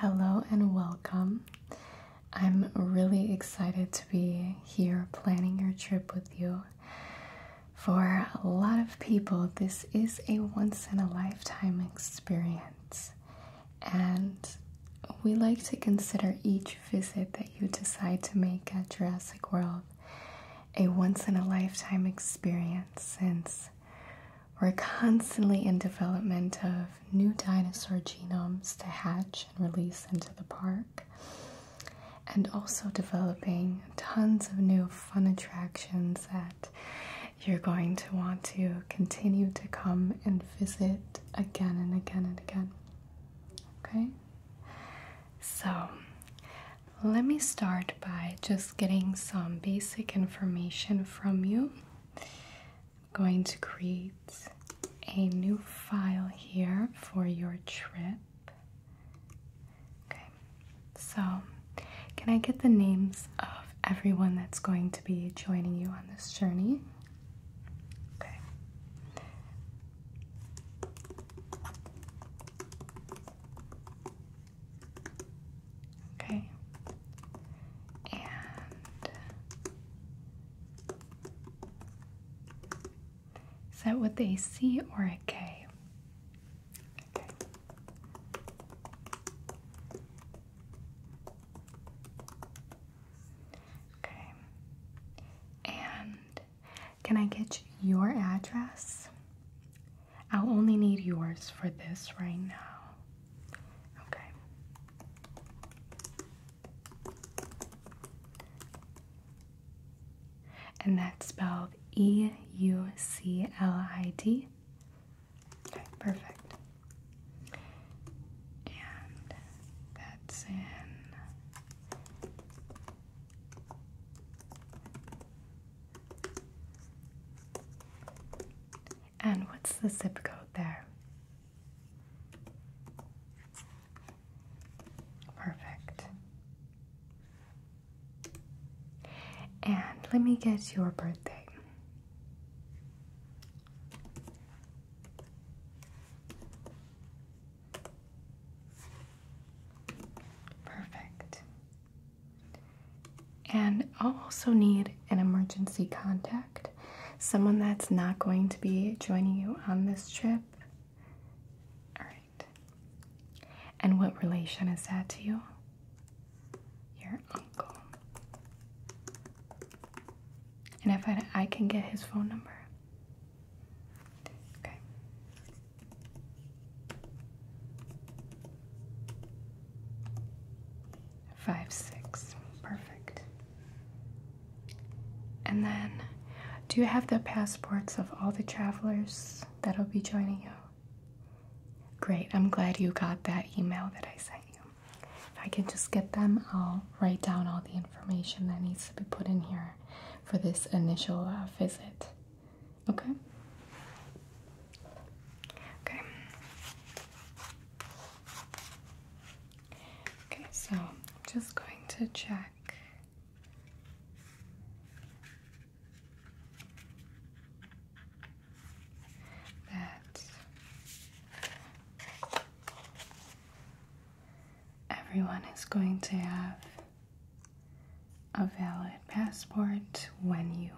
Hello and welcome. I'm really excited to be here planning your trip with you. For a lot of people, this is a once in a lifetime experience, and we like to consider each visit that you decide to make at Jurassic World a once in a lifetime experience since we're constantly in development of new dinosaur genomes to hatch and release into the park, and also developing tons of new fun attractions that you're going to want to continue to come and visit again and again and again. Okay? So, let me start by just getting some basic information from you going to create a new file here for your trip. Okay, so can I get the names of everyone that's going to be joining you on this journey? Okay is that with a C or a K? Okay. Okay. And can I get your address? I'll only need yours for this right now. Okay. And that's spelled E U C L I D. Okay, perfect. And that's in. And what's the zip code there? Perfect. And let me get your birthday. Perfect. And I'll also need an emergency contact, someone that's not going to be joining you on this trip. All right. And what relation is that to you? Your uncle. And if I, can get his phone number. Okay five, six. Perfect. And then, do you have the passports of all the travelers that'll be joining you? Great. I'm glad you got that email that I sent you. If I can just get them, I'll write down all the information that needs to be put in here for this initial uh, visit. Okay? Okay. Okay, so I'm just going to check. That everyone is going to have a valid passport when you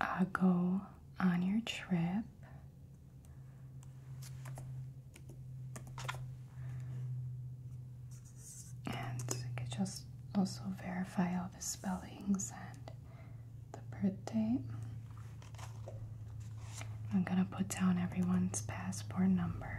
uh, go on your trip. And I could just also verify all the spellings and the birthday. I'm gonna put down everyone's passport number.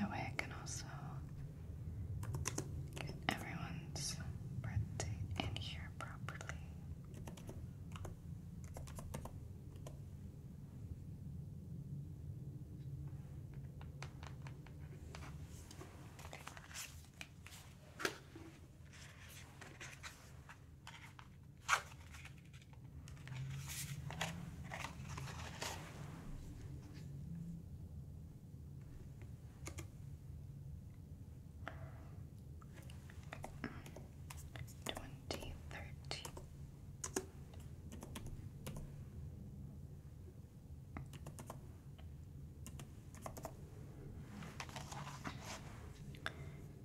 That way I can also get everyone's birth in here properly. Twenty thirty.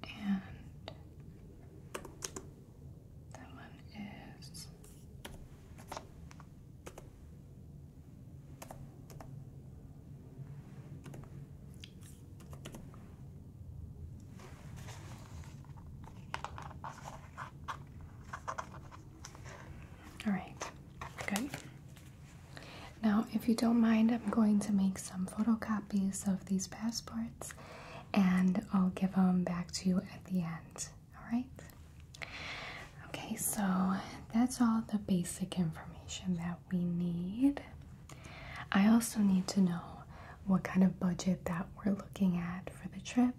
And that one is all right, good. Now, if you don't mind, I'm going to make some photocopies of these passports and I'll give them back to you at the end. Alright? Okay, so that's all the basic information that we need. I also need to know what kind of budget that we're looking at for the trip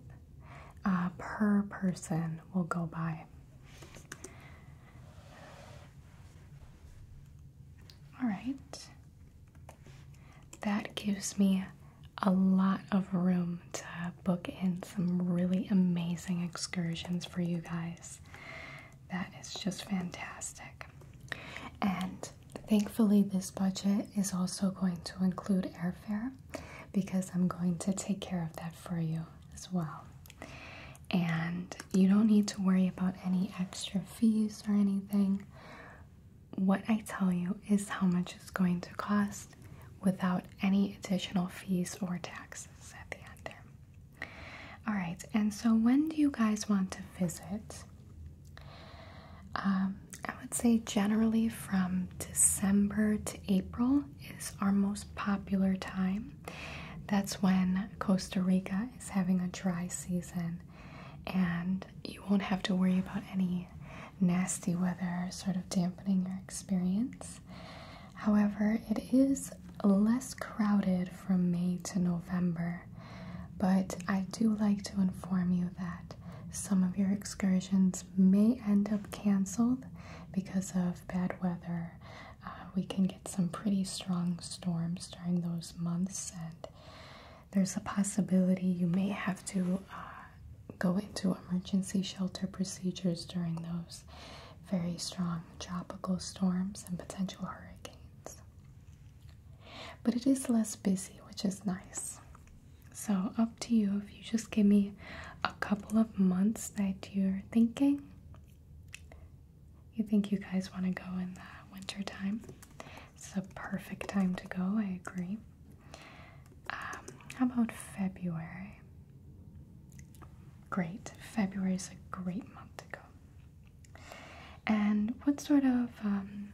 uh, per person will go by. All right. That gives me a lot of room to book in some really amazing excursions for you guys. That is just fantastic. And thankfully, this budget is also going to include airfare because I'm going to take care of that for you as well and you don't need to worry about any extra fees or anything. What I tell you is how much it's going to cost without any additional fees or taxes at the end there. All right, and so when do you guys want to visit? Um, I would say generally from December to April is our most popular time. That's when Costa Rica is having a dry season and you won't have to worry about any nasty weather sort of dampening your experience. However, it is less crowded from May to November, but I do like to inform you that some of your excursions may end up canceled because of bad weather, uh, we can get some pretty strong storms during those months, and there's a possibility you may have to uh, go into emergency shelter procedures during those very strong tropical storms and potential hurricanes. But it is less busy, which is nice. So, up to you if you just give me a couple of months that you're thinking. You think you guys want to go in the winter time? It's a perfect time to go, I agree. Um, how about February? Great. February is a great month to go. And what sort of um,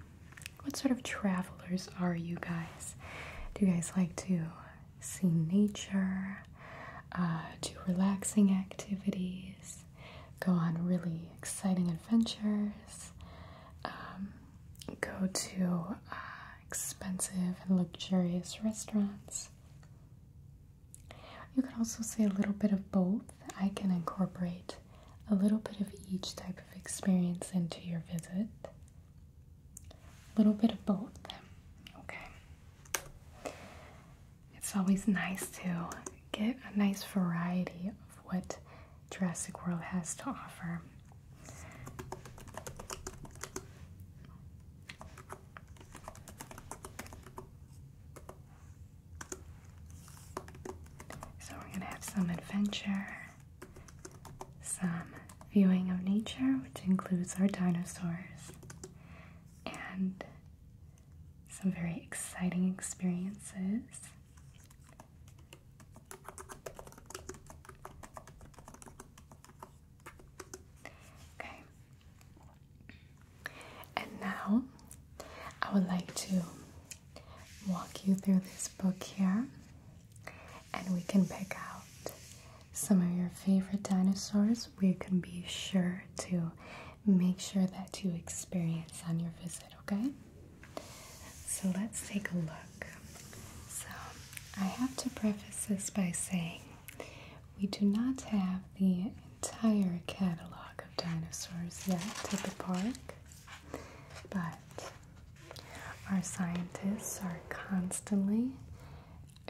what sort of travelers are you guys? Do you guys like to see nature? Uh, do relaxing activities? go on really exciting adventures, um, go to uh, expensive and luxurious restaurants. You could also say a little bit of both. I can incorporate a little bit of each type of experience into your visit. A little bit of both. Okay. It's always nice to get a nice variety of what Jurassic World has to offer. So we're going to have some adventure, some viewing of nature, which includes our dinosaurs, and some very exciting experiences. Okay. And now I would like to walk you through this book here and we can pick out some of your favorite dinosaurs we can be sure to make sure that you experience on your visit, okay? So let's take a look. So I have to preface this by saying we do not have the entire catalog of dinosaurs yet at the park, but our scientists are constantly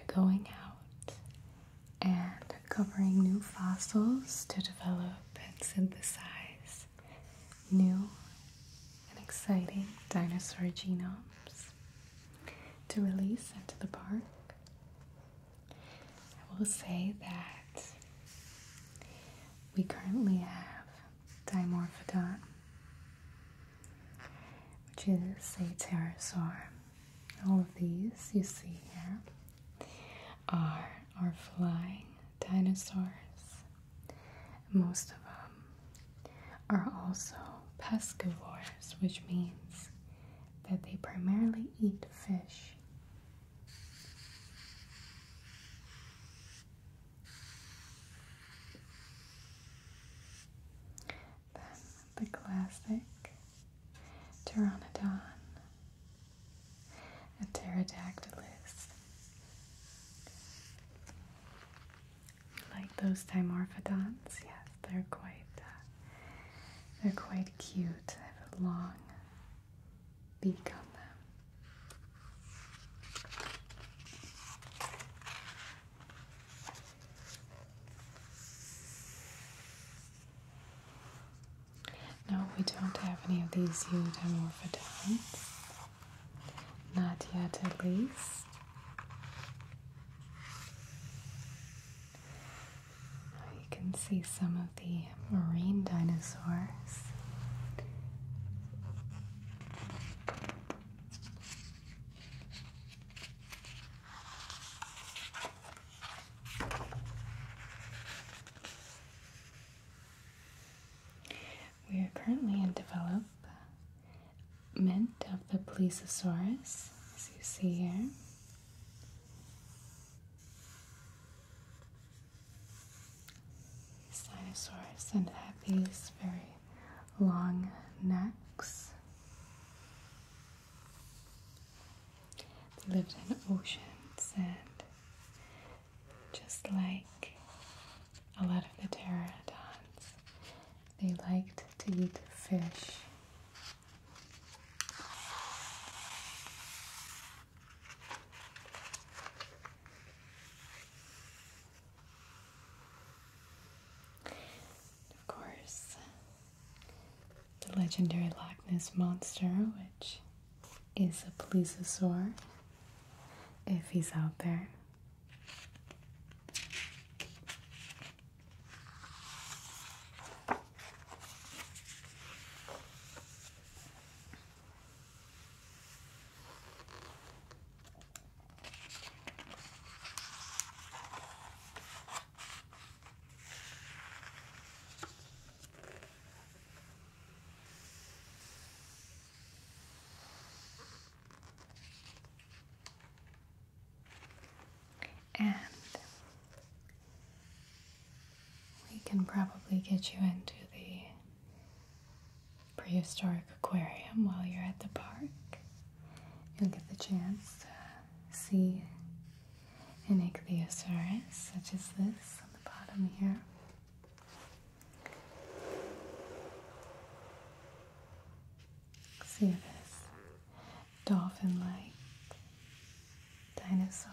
going out and covering new fossils to develop and synthesize new and exciting dinosaur genomes to release into the park. I will say that we currently have Dimorphodon, which is a pterosaur all of these you see here are our flying dinosaurs. Most of them are also piscivores, which means that they primarily eat fish. Then the classic pteranodon, a pterodactylus. Like those dimorphodonts, yes, they're quite uh, they're quite cute. They have a long beak on them. No, we don't have any of these eudomorphodons. Not yet, at least. you can see some of the marine dinosaurs. We are currently in development of the Plesiosaurus, as you see here. These dinosaurs and have these very long necks. They lived in oceans and just like a lot of the pterodactyls, they liked to eat fish. Of course, the legendary Loch Ness Monster, which is a plesiosaur if he's out there. And we can probably get you into the prehistoric aquarium while you're at the park. You'll get the chance to see an ichthyosaurus, such as this on the bottom here. See this dolphin like dinosaur.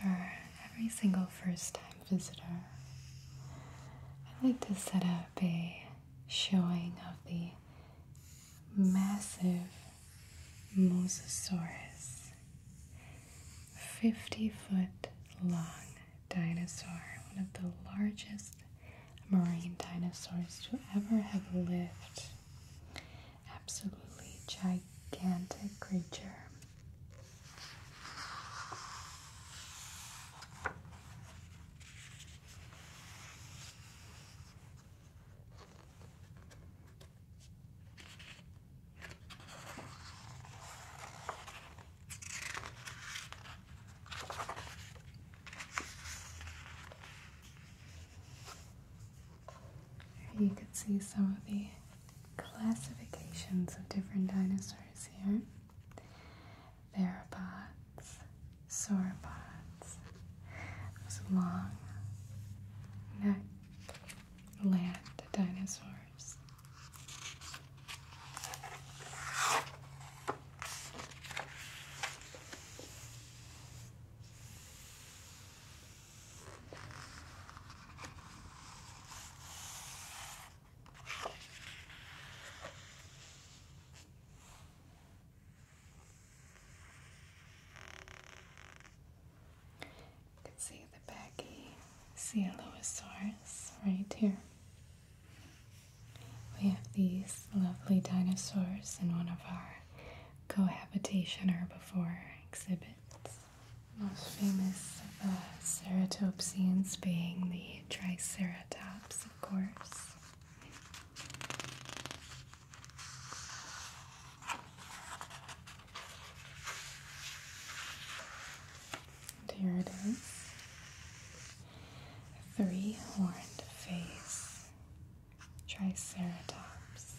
for every single first time visitor, I like to set up a showing of the massive Mosasaurus, 50 foot long dinosaur, one of the largest marine dinosaurs to ever have lived Absolutely gigantic creature you can see some of the classifications of different dinosaurs here. Theropods, sauropods, those long necked land dinosaurs. You can see the baggy ceratosaurus right here. We have these lovely dinosaurs in one of our cohabitation or before exhibits. Most famous ceratopsians being the Triceratops, of course. And here it is. Three horned face. Triceratops.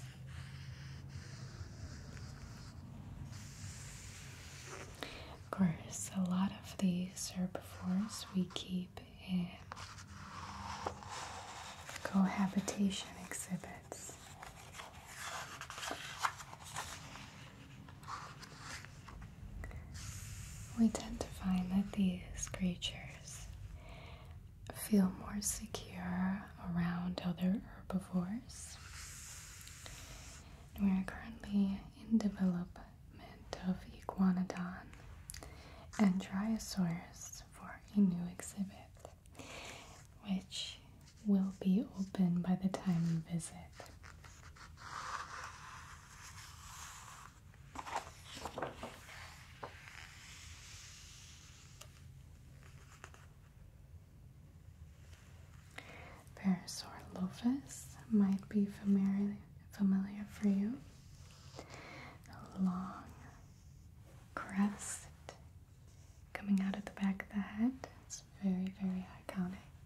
Of course, a lot of these herbivores we keep in cohabitation exhibits. We tend to find that these creatures feel more secure around other herbivores. We are currently in development of Iguanodon and Dryosaurus for a new exhibit, which will be open by the time you visit. Parasaur lopus might be familiar, familiar for you. A long crest coming out at the back of the head. It's very, very iconic.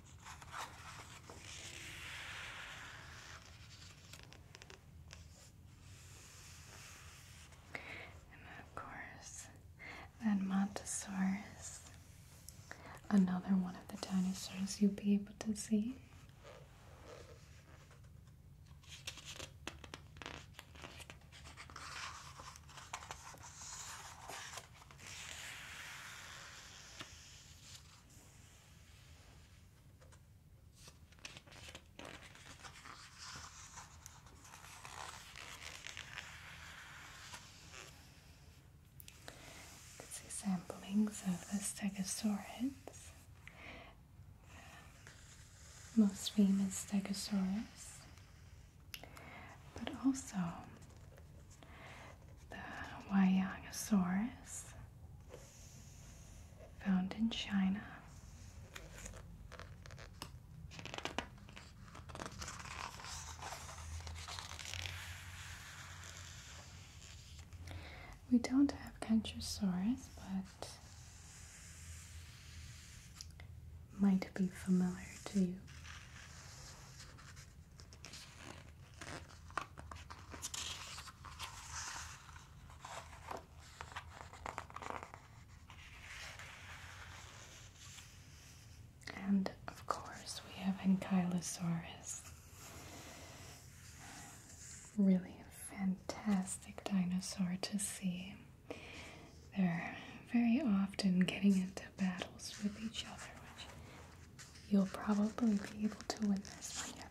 And of course, then Montosaurus, another one of the dinosaurs you'll be able to see. This is samplings of the Stegosaurus, um, most famous Stegosaurus, but also the Wyangosaurus, found in China. We don't have Kentrosaurus, but might be familiar to you. And of course, we have Ankylosaurus. Really a fantastic dinosaur to see. They're very often getting into battles with each other, you'll probably be able to win this one, you're there.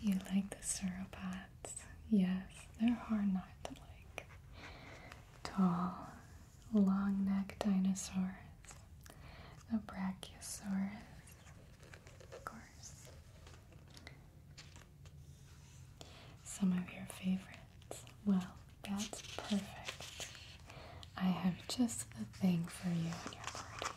You like the sauropods? Yes, they're hard not to like. Tall, long necked dinosaurs. The Brachiosaurus, of course. Some of your favorites. Well, that's perfect. I have just the thing for you and your party.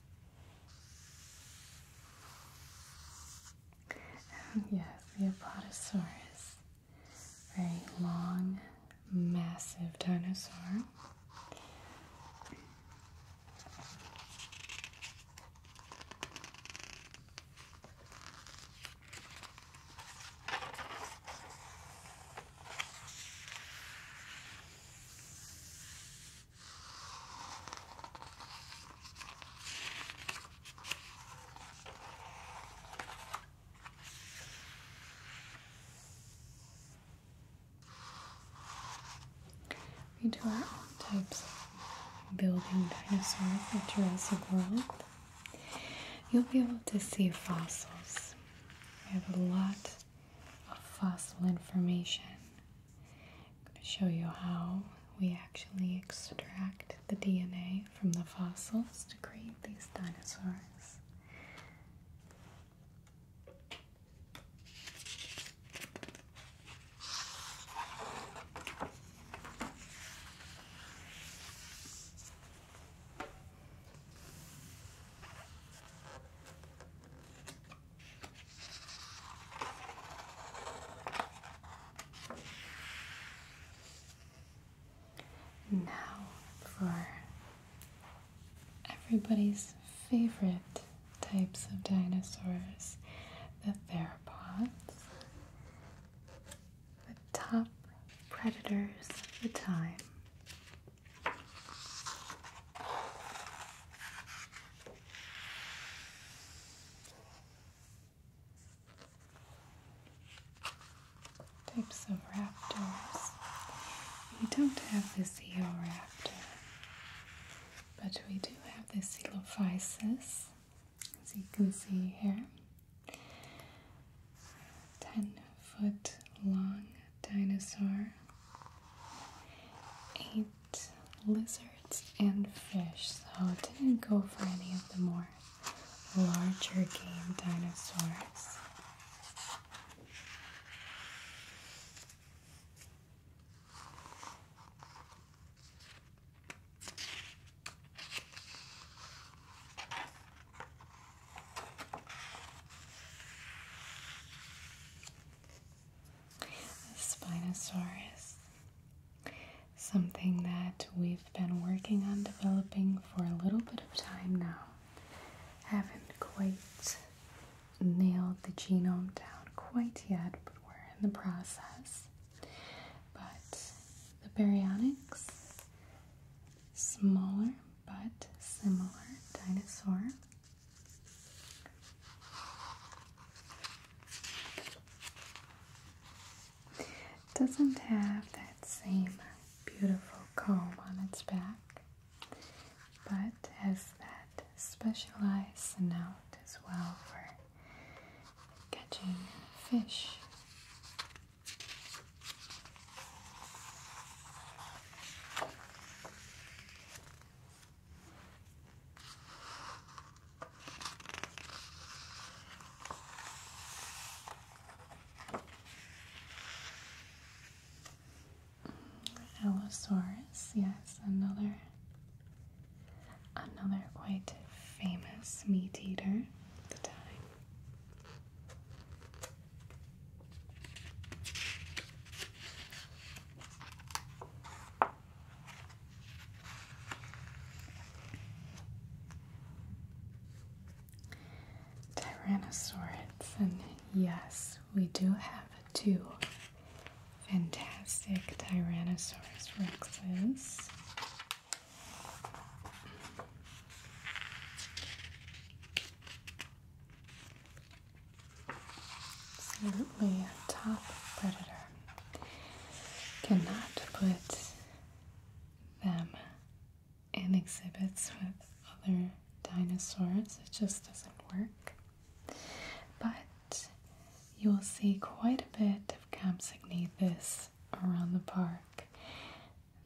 yes, the Apatosaurus. Very long, massive dinosaur. We do our own types of building dinosaurs at Jurassic World. You'll be able to see fossils. We have a lot of fossil information I'm going to show you how we actually extract the DNA from the fossils to create these dinosaurs. Now for everybody's favorite types of dinosaurs, the theropods, the top predators of the time. Types of raptors. We don't have the Eoraptor, but we do have the Elophysis, as you can here. 10 foot long dinosaur ate lizards and fish, so didn't go for any of the more larger game dinosaurs a Spinosaurus. Something that we've been working on developing for a little bit of time now. Haven't quite nailed the genome down quite yet, but we're in the process. But the baryonyx, smaller but similar dinosaur doesn't have that same beautiful comb on its back, but has that specialized snout as well for catching fish. Allosaurus, yes, another another quite famous meat eater at the time. Tyrannosaurids, and yes, we do have two fantastic Tyrannosaurus rexes. Absolutely a top predator. Cannot put them in exhibits with other dinosaurs, it just doesn't work. But you will see quite a bit of Campsognathus around the park.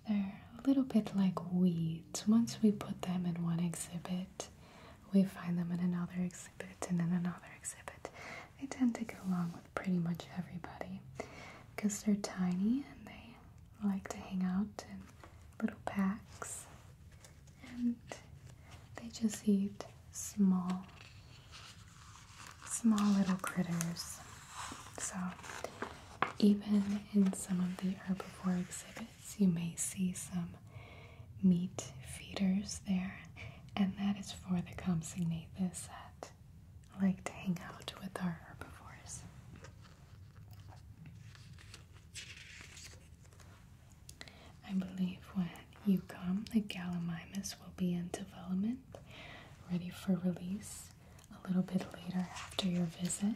They're a little bit like weeds. Once we put them in one exhibit, we find them in another exhibit and in another exhibit. They tend to get along with pretty much everybody because they're tiny and they like to hang out in little packs and they just eat small, small little critters. So, even in some of the herbivore exhibits, you may see some meat feeders there, and that is for the compsognathus that like to hang out with our herbivores. I believe when you come, the gallimimus will be in development, ready for release a little bit later after your visit.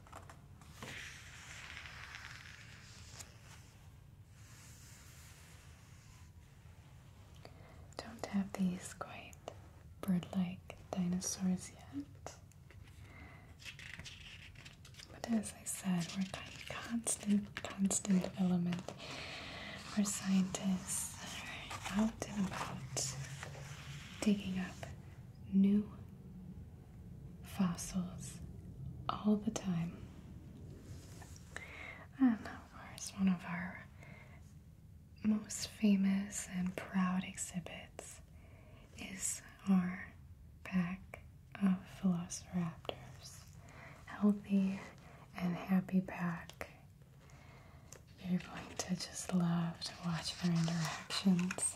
Don't have these quite bird-like dinosaurs yet. But as I said, we're in constant, constant development. Our scientists are out and about digging up new fossils all the time. And of course, one of our most famous and proud exhibits is our pack of velociraptors. Healthy and happy pack. You're going to just love to watch their interactions.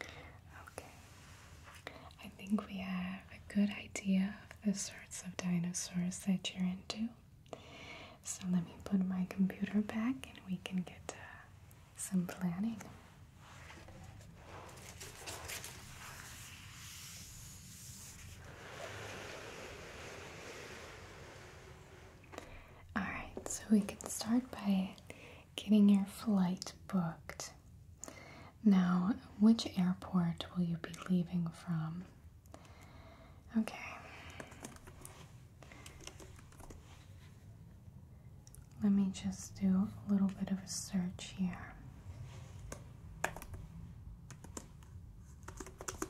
Okay, I think we have a good idea of the sorts of dinosaurs that you're into. So let me put my computer back and we can get uh, some planning. Alright, so we can start by getting your flight booked. Now, which airport will you be leaving from? Okay. Let me just do a little bit of a search here.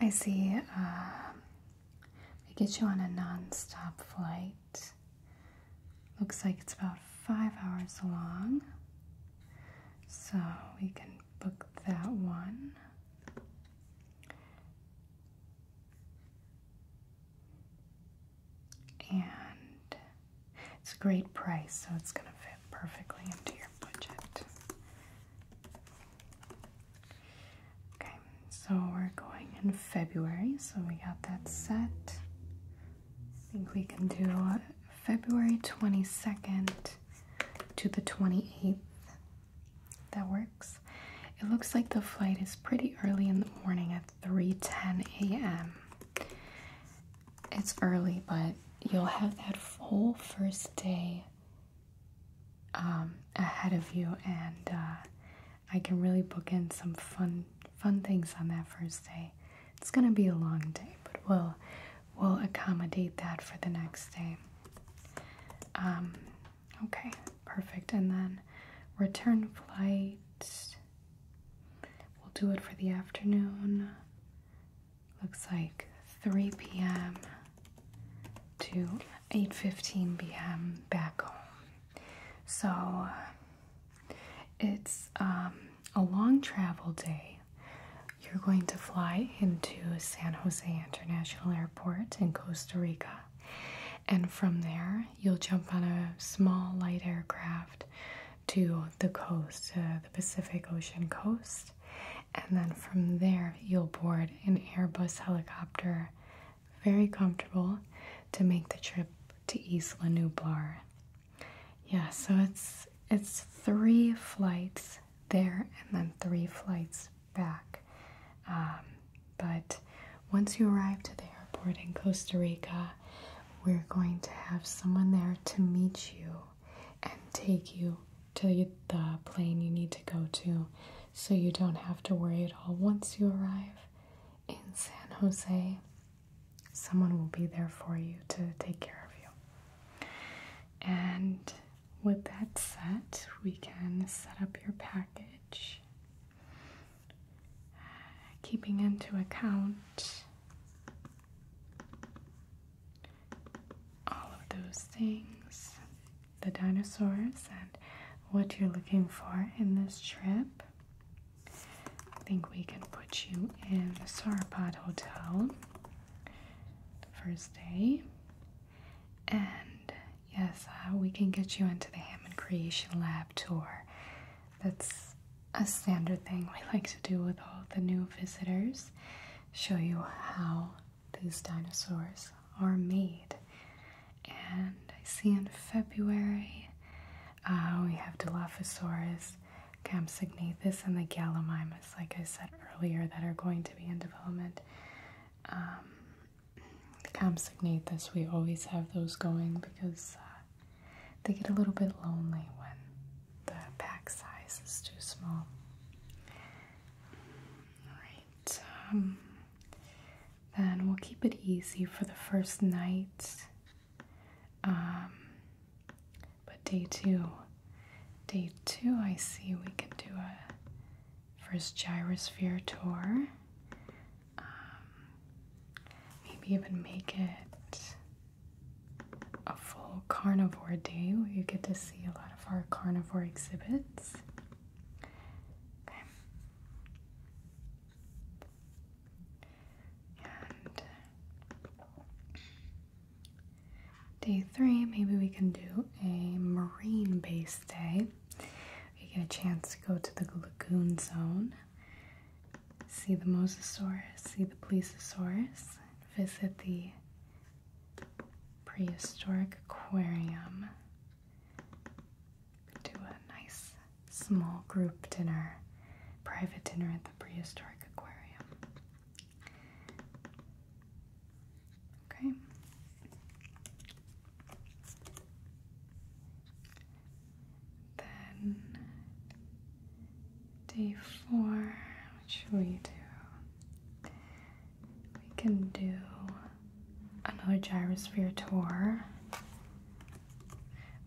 I see. Uh, get you on a nonstop flight. Looks like it's about five hours long, so we can book that one. And it's a great price, so it's going to fit perfectly into your budget. Okay, so we're going in February, so we got that set. I think we can do February 22nd to the 28th. That works. It looks like the flight is pretty early in the morning at 3:10 a.m. It's early, but you'll have that full first day um, ahead of you, and uh, I can really book in some fun fun things on that first day. It's gonna be a long day, but we'll we'll accommodate that for the next day. Um, okay, perfect. And then return flight. We'll do it for the afternoon. Looks like 3 p.m to 8:15 p.m. back home. So it's um, a long travel day. You're going to fly into San Jose International Airport in Costa Rica, and from there you'll jump on a small light aircraft to the coast, uh, the Pacific Ocean coast, and then from there you'll board an Airbus helicopter, very comfortable, to make the trip to Isla Nublar. Yeah, so it's it's three flights there and then three flights back. Um, but once you arrive to the airport in Costa Rica, we're going to have someone there to meet you and take you to the plane you need to go to so you don't have to worry at all. Once you arrive in San Jose, someone will be there for you to take care of you. And with that said, we can set up your package. Keeping into account all of those things, the dinosaurs and what you're looking for in this trip. I think we can put you in the Sauropod Hotel the first day. And yes, uh, we can get you into the Hammond Creation Lab tour. That's a standard thing we like to do with all the new visitors show you how these dinosaurs are made. And I see in February uh, we have Dilophosaurus, Campsognathus, and the Gallimimus, like I said earlier, that are going to be in development. Um, the Campsognathus, we always have those going because uh, they get a little bit lonely when the pack size is too small. Alright, um, then we'll keep it easy for the first night. Um, but day two, day two, I see we could do a first gyrosphere tour. Um, maybe even make it a full carnivore day where you get to see a lot lot of our carnivore exhibits. Okay. day three, maybe we can do a marine base day. We get a chance to go to the lagoon zone, see the mosasaurus, see the plesiosaurus, visit the prehistoric aquarium. do a nice small group dinner, private dinner at the prehistoric aquarium. Okay. Then day four, what should we do? we can do another gyrosphere tour.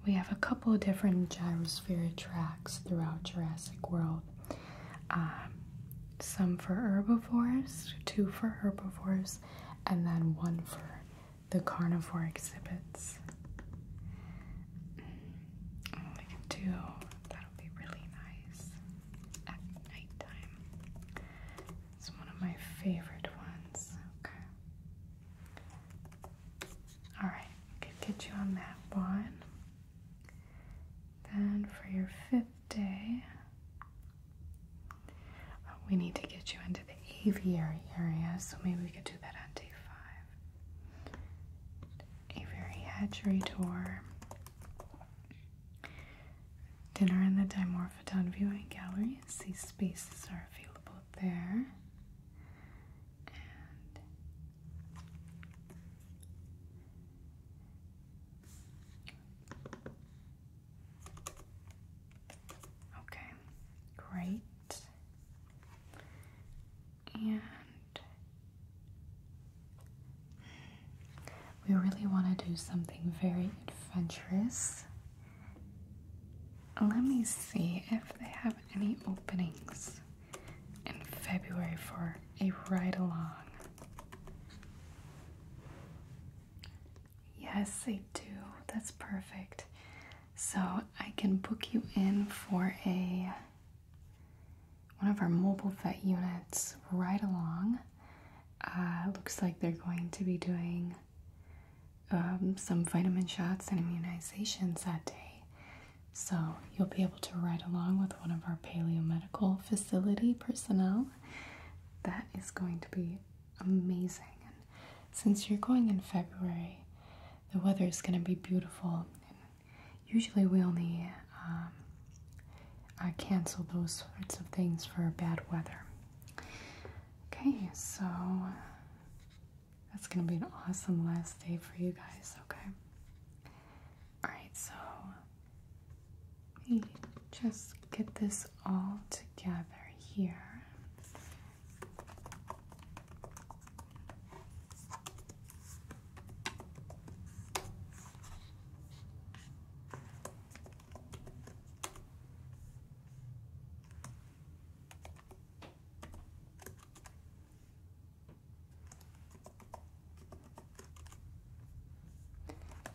We have a couple of different gyrosphere tracks throughout Jurassic World. Um, some for herbivores, two for herbivores, and then one for the carnivore exhibits. We can do that'll be really nice at nighttime. It's one of my favorite ones. Okay. Alright, could get you on that one. Then for your fifth day, uh, we need to get you into the aviary area, so maybe we could do that on day five. Aviary hatchery tour. Dinner in the Dimorphodon Viewing Gallery. These spaces are available there. Okay, great. And we really want to do something very adventurous. Let me see if they have any openings in February for a ride along. Yes, they do. That's perfect. So I can book you in for a one of our mobile vet units right along. Uh, looks like they're going to be doing um, some vitamin shots and immunizations that day. So you'll be able to ride along with one of our paleo medical facility personnel. That is going to be amazing. And since you're going in February, the weather is going to be beautiful. And usually we only um, I cancel those sorts of things for bad weather. Okay, so uh, that's going to be an awesome last day for you guys, okay? Alright, so let me just get this all together here.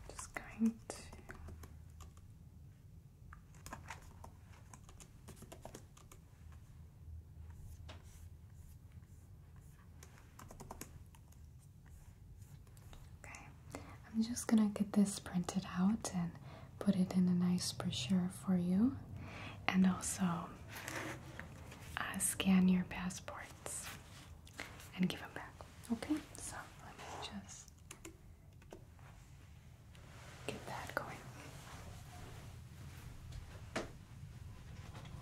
Just going to Okay, I'm just gonna get this printed out and put it in a nice brochure for you, and also uh, scan your passports and give them back. Okay, so let me just get that going.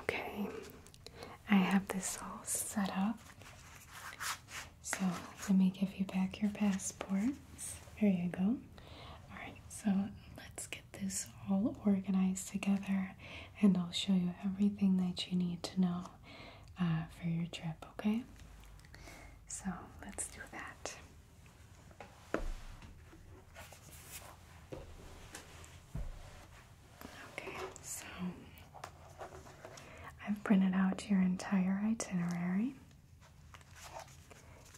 Okay, I have this all set up. So let me give you back your passports. Here you go. All right, so let's get this all organized together and I'll show you everything that you need to know uh, for your trip, okay? So let's do that. Okay, so I've printed out your entire itinerary,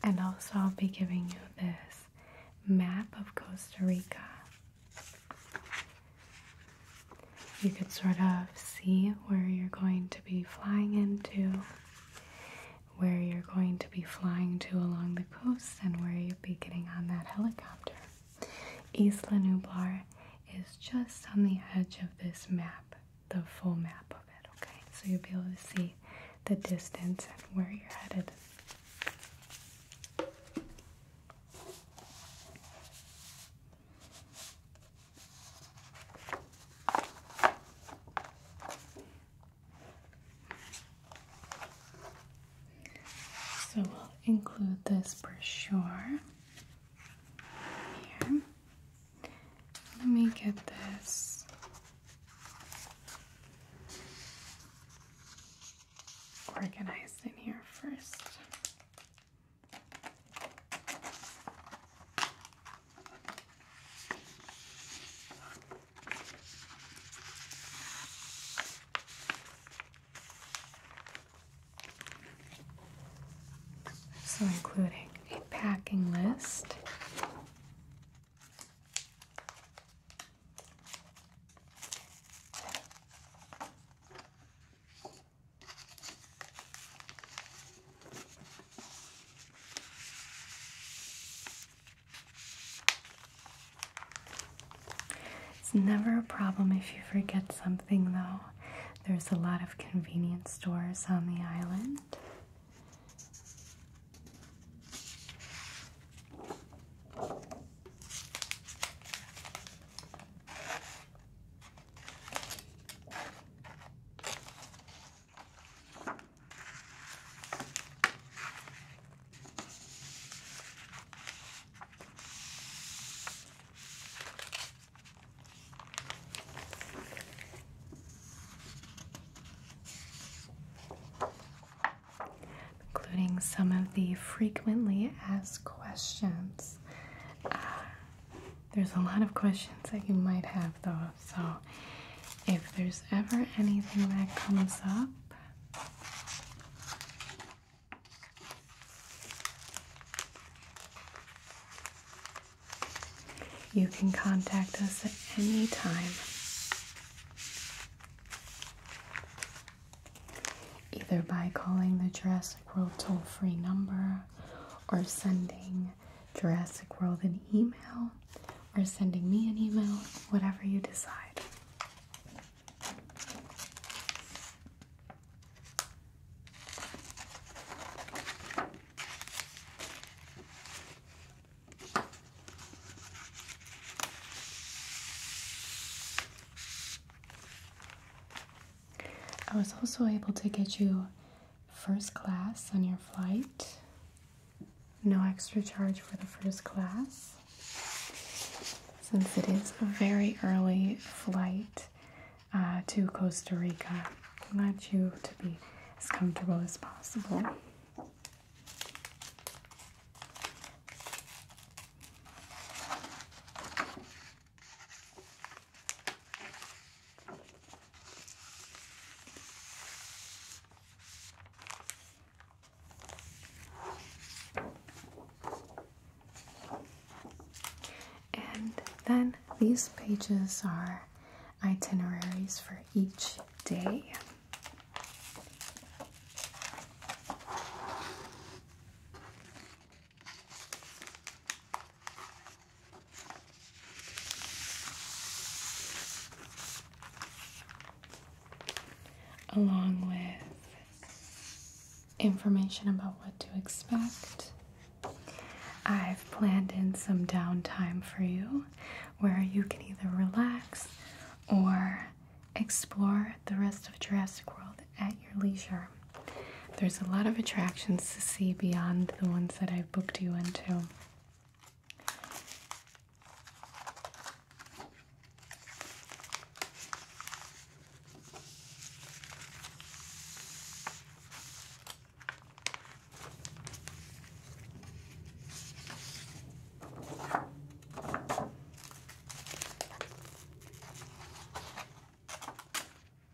and also I'll be giving you this map of Costa Rica. You could sort of see where you're going to be flying into, where you're going to be flying to along the coast, and where you will be getting on that helicopter. Isla Nublar is just on the edge of this map, the full map of it, okay? So you'll be able to see the distance and where you're headed. So we'll include this brochure here. Let me get this. Organized in here first. So, including a packing list. It's never a problem if you forget something, though. There's a lot of convenience stores on the island. Including some of the frequently asked questions. Uh, there's a lot of questions that you might have though, so if there's ever anything that comes up, you can contact us at any time. Either by calling the Jurassic World toll free number or sending Jurassic World an email or sending me an email, whatever you decide. I was also able to get you first class on your flight. No extra charge for the first class. Since it is a very early flight uh, to Costa Rica, I want you to be as comfortable as possible. And then these pages are itineraries for each day along with information about what to expect. I've planned in some downtime for you where you can either relax or explore the rest of Jurassic World at your leisure. There's a lot of attractions to see beyond the ones that I've booked you into.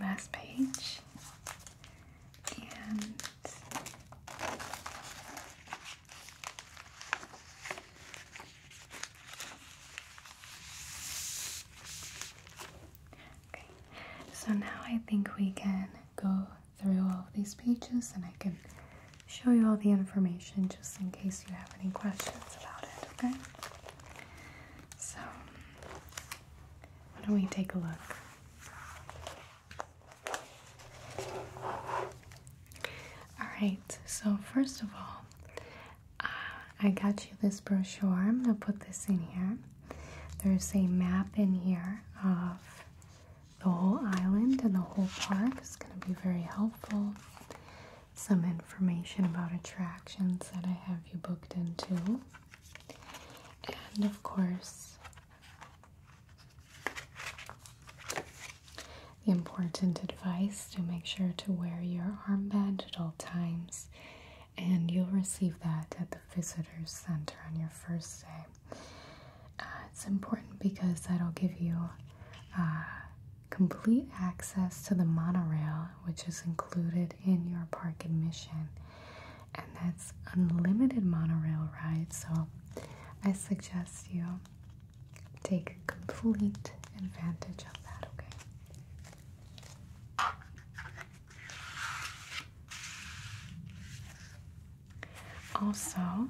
last page, okay. So now I think we can go through all these pages, and I can show you all the information just in case you have any questions about it. Okay. So, why don't we take a look? Alright, so first of all, uh, I got you this brochure. I'm going to put this in here. There's a map in here of the whole island and the whole park. It's going to be very helpful some information about attractions that I have you booked into. And of course, the important advice to make sure to wear your armband at all times. And you'll receive that at the visitor's center on your first day. Uh, it's important because that'll give you uh, complete access to the monorail, which is included in your park admission, and that's unlimited monorail ride. So, I suggest you take complete advantage of that. Okay. Also,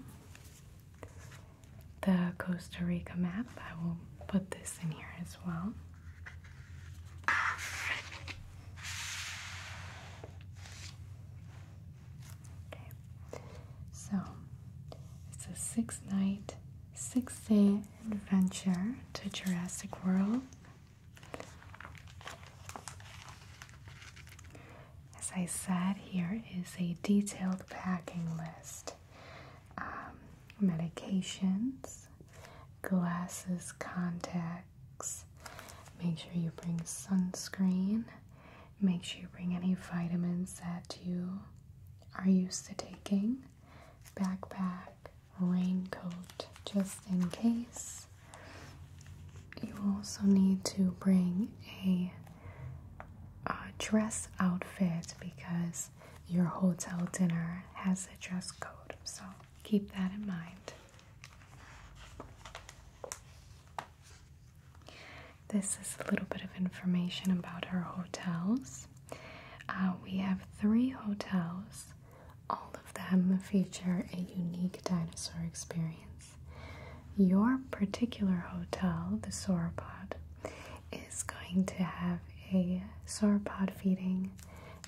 the Costa Rica map, I will put this in here as well. So it's a six night, six day adventure to Jurassic World. As I said, here is a detailed packing list. Um, medications, glasses, contacts. Make sure you bring sunscreen. Make sure you bring any vitamins that you are used to taking. Backpack, raincoat, just in case. You also need to bring a, uh, dress outfit because your hotel dinner has a dress code. So keep that in mind. This is a little bit of information about our hotels. Uh, we have three hotels. All of them feature a unique dinosaur experience. Your particular hotel, the Sauropod, is going to have a sauropod feeding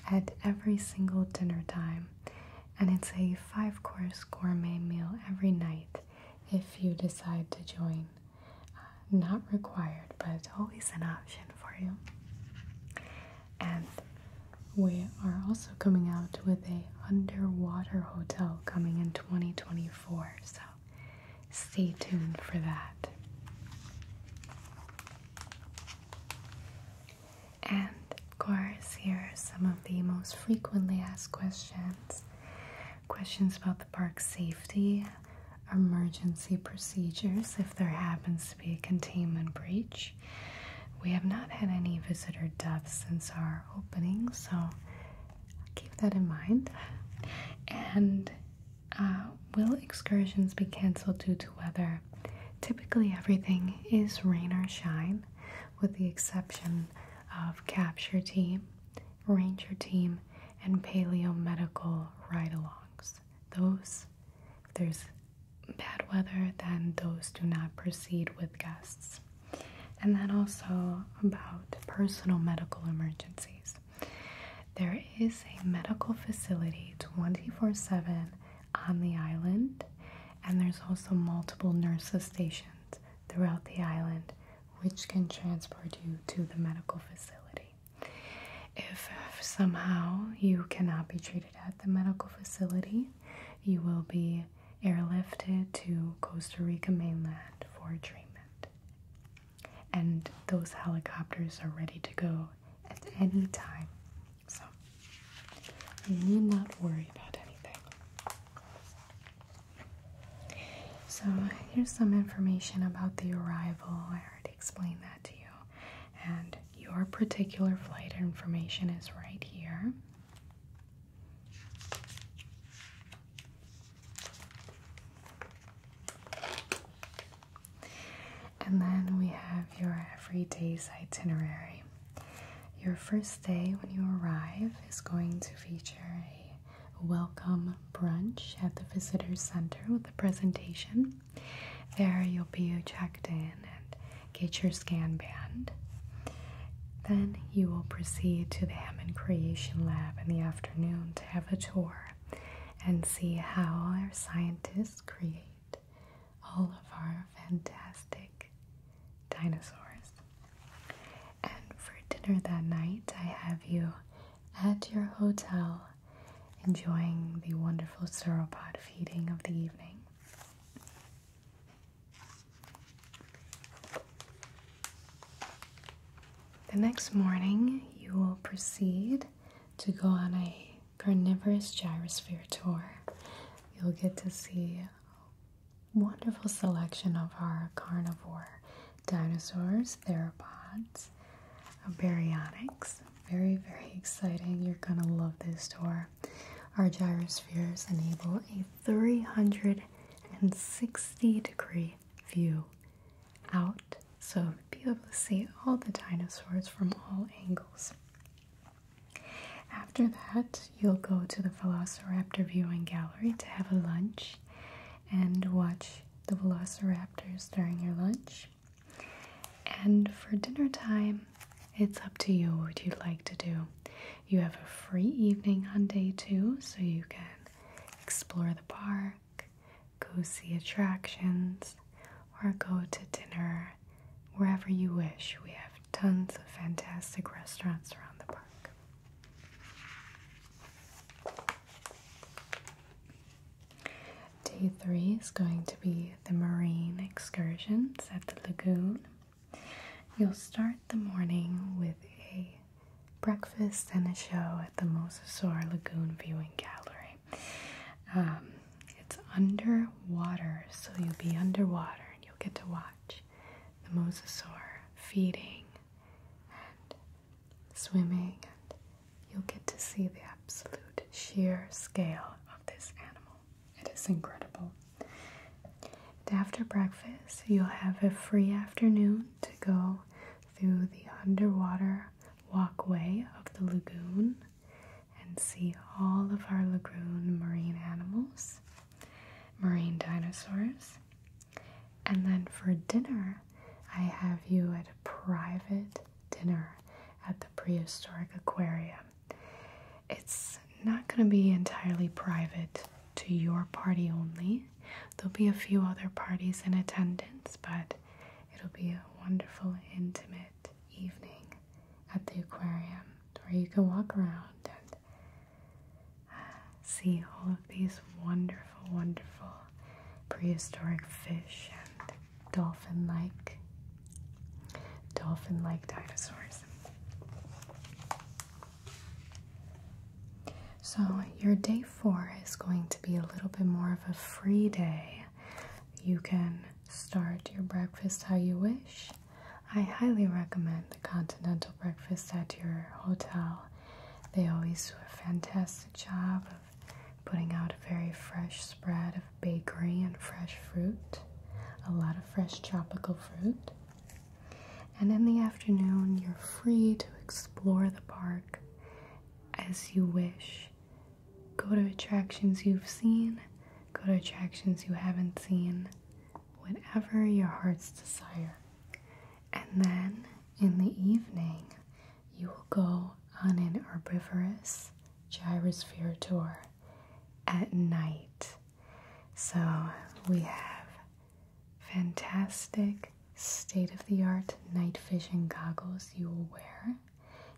at every single dinner time, and it's a five course gourmet meal every night if you decide to join. Uh, not required, but it's always an option for you. And we are also coming out with a underwater hotel coming in 2024. So stay tuned for that. And of course, here are some of the most frequently asked questions questions about the park safety, emergency procedures if there happens to be a containment breach. We have not had any visitor deaths since our opening, so keep that in mind. And uh, will excursions be canceled due to weather? Typically, everything is rain or shine, with the exception of Capture Team, Ranger Team, and Paleo Medical ride alongs. Those, if there's bad weather, then those do not proceed with guests. And then also about personal medical emergencies. There is a medical facility 24 7 on the island, and there's also multiple nurse stations throughout the island which can transport you to the medical facility. If somehow you cannot be treated at the medical facility, you will be airlifted to Costa Rica mainland for treatment and those helicopters are ready to go at any time. So you need not worry about anything. So here's some information about the arrival. I already explained that to you. And your particular flight information is right here. And then we have your every day's itinerary. Your first day when you arrive is going to feature a welcome brunch at the visitors center with a presentation. There you'll be checked in and get your scan band. Then you will proceed to the Hammond Creation Lab in the afternoon to have a tour and see how our scientists create all of our fantastic dinosaurs. And for dinner that night, I have you at your hotel enjoying the wonderful sauropod feeding of the evening. The next morning, you will proceed to go on a carnivorous gyrosphere tour. You'll get to see a wonderful selection of our carnivore dinosaurs, theropods, baryonyx. Very, very exciting. You're going to love this tour. Our gyrospheres enable a 360 degree view out, so be able to see all the dinosaurs from all angles. After that, you'll go to the Velociraptor Viewing Gallery to have a lunch and watch the velociraptors during your lunch. And for dinner time, it's up to you what you'd like to do. You have a free evening on day two, so you can explore the park, go see attractions, or go to dinner wherever you wish. We have tons of fantastic restaurants around the park. Day three is going to be the marine excursions at the lagoon. You'll start the morning with a breakfast and a show at the Mosasaur Lagoon Viewing Gallery. Um, it's underwater, so you'll be underwater and you'll get to watch the mosasaur feeding and swimming, and you'll get to see the absolute sheer scale of this animal. It is incredible. And after breakfast, you'll have a free afternoon to go through the underwater walkway of the lagoon and see all of our lagoon marine animals, marine dinosaurs. And then for dinner, I have you at a private dinner at the prehistoric aquarium. It's not going to be entirely private to your party only. There'll be a few other parties in attendance, but It'll be a wonderful, intimate evening at the aquarium where you can walk around and uh, see all of these wonderful, wonderful prehistoric fish and dolphin like dolphin like dinosaurs. So, your day four is going to be a little bit more of a free day you can start your breakfast how you wish. I highly recommend the continental breakfast at your hotel. They always do a fantastic job of putting out a very fresh spread of bakery and fresh fruit, a lot of fresh tropical fruit. And in the afternoon, you're free to explore the park as you wish. Go to attractions you've seen, go to attractions you haven't seen, whatever your heart's desire. And then in the evening, you will go on an herbivorous gyrosphere tour at night. So we have fantastic state of the art night vision goggles you will wear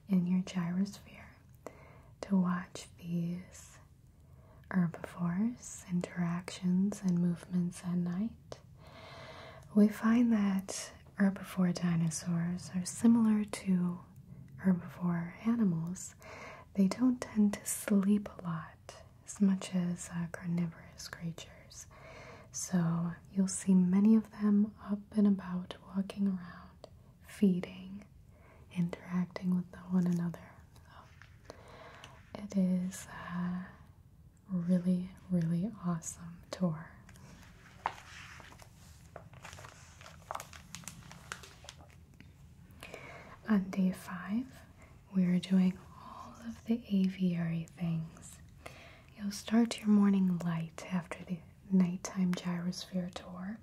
in your gyrosphere to watch these herbivores' interactions and movements at night. We find that herbivore dinosaurs are similar to herbivore animals. They don't tend to sleep a lot as much as uh, carnivorous creatures. So you'll see many of them up and about, walking around, feeding, interacting with one another. it is a really, really awesome tour. On day five, we're doing all of the aviary things. You'll start your morning light after the nighttime gyrosphere tour,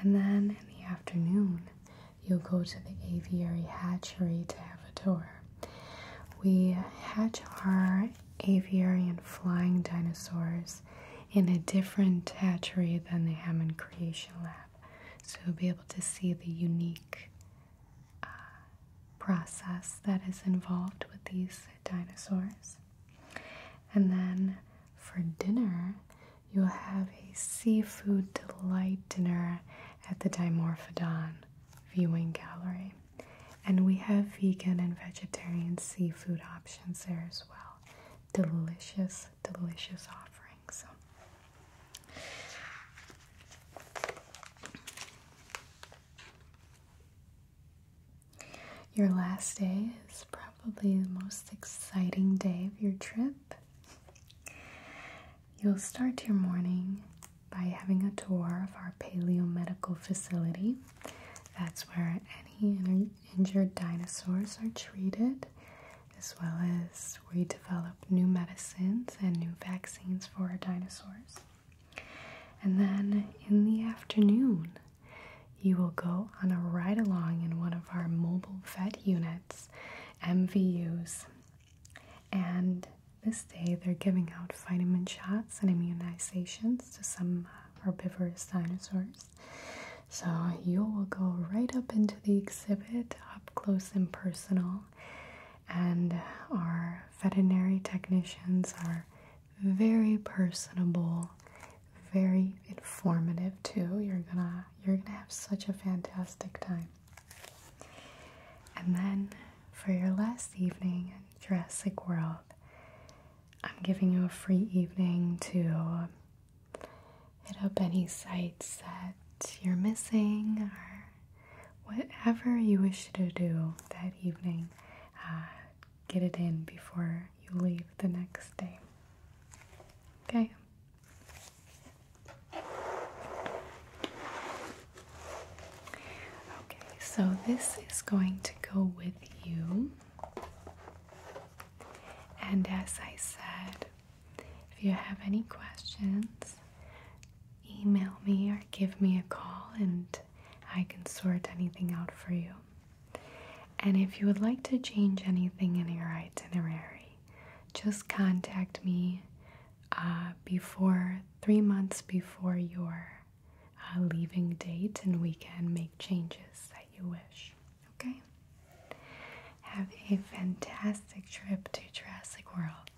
and then in the afternoon, you'll go to the aviary hatchery to have a tour. We hatch our aviary and flying dinosaurs in a different hatchery than the Hammond Creation Lab, so you'll be able to see the unique uh, process that is involved with these dinosaurs. And then for dinner, you'll have a seafood delight dinner at the Dimorphodon Viewing Gallery. And we have vegan and vegetarian seafood options there as well. Delicious, delicious offerings. Your last day is probably the most exciting day of your trip. You'll start your morning by having a tour of our paleo medical facility. That's where any injured dinosaurs are treated, as well as we develop new medicines and new vaccines for our dinosaurs. And then in the afternoon, you will go on a ride along in one of our mobile vet units, MVUs. And this day, they're giving out vitamin shots and immunizations to some herbivorous dinosaurs. So you will go right up into the exhibit, up close and personal, and our veterinary technicians are very personable, very informative too. You're gonna you're gonna have such a fantastic time. And then for your last evening in Jurassic World, I'm giving you a free evening to hit up any sites that you're missing or whatever you wish to do that evening. Uh, get it in before you leave the next day. Okay? Okay, so this is going to go with you. And as I said, if you have any questions, email me or give me a call and I can sort anything out for you. And if you would like to change anything in your itinerary, just contact me uh, before three months before your uh, leaving date, and we can make changes that you wish. Okay? Have a fantastic trip to Jurassic World.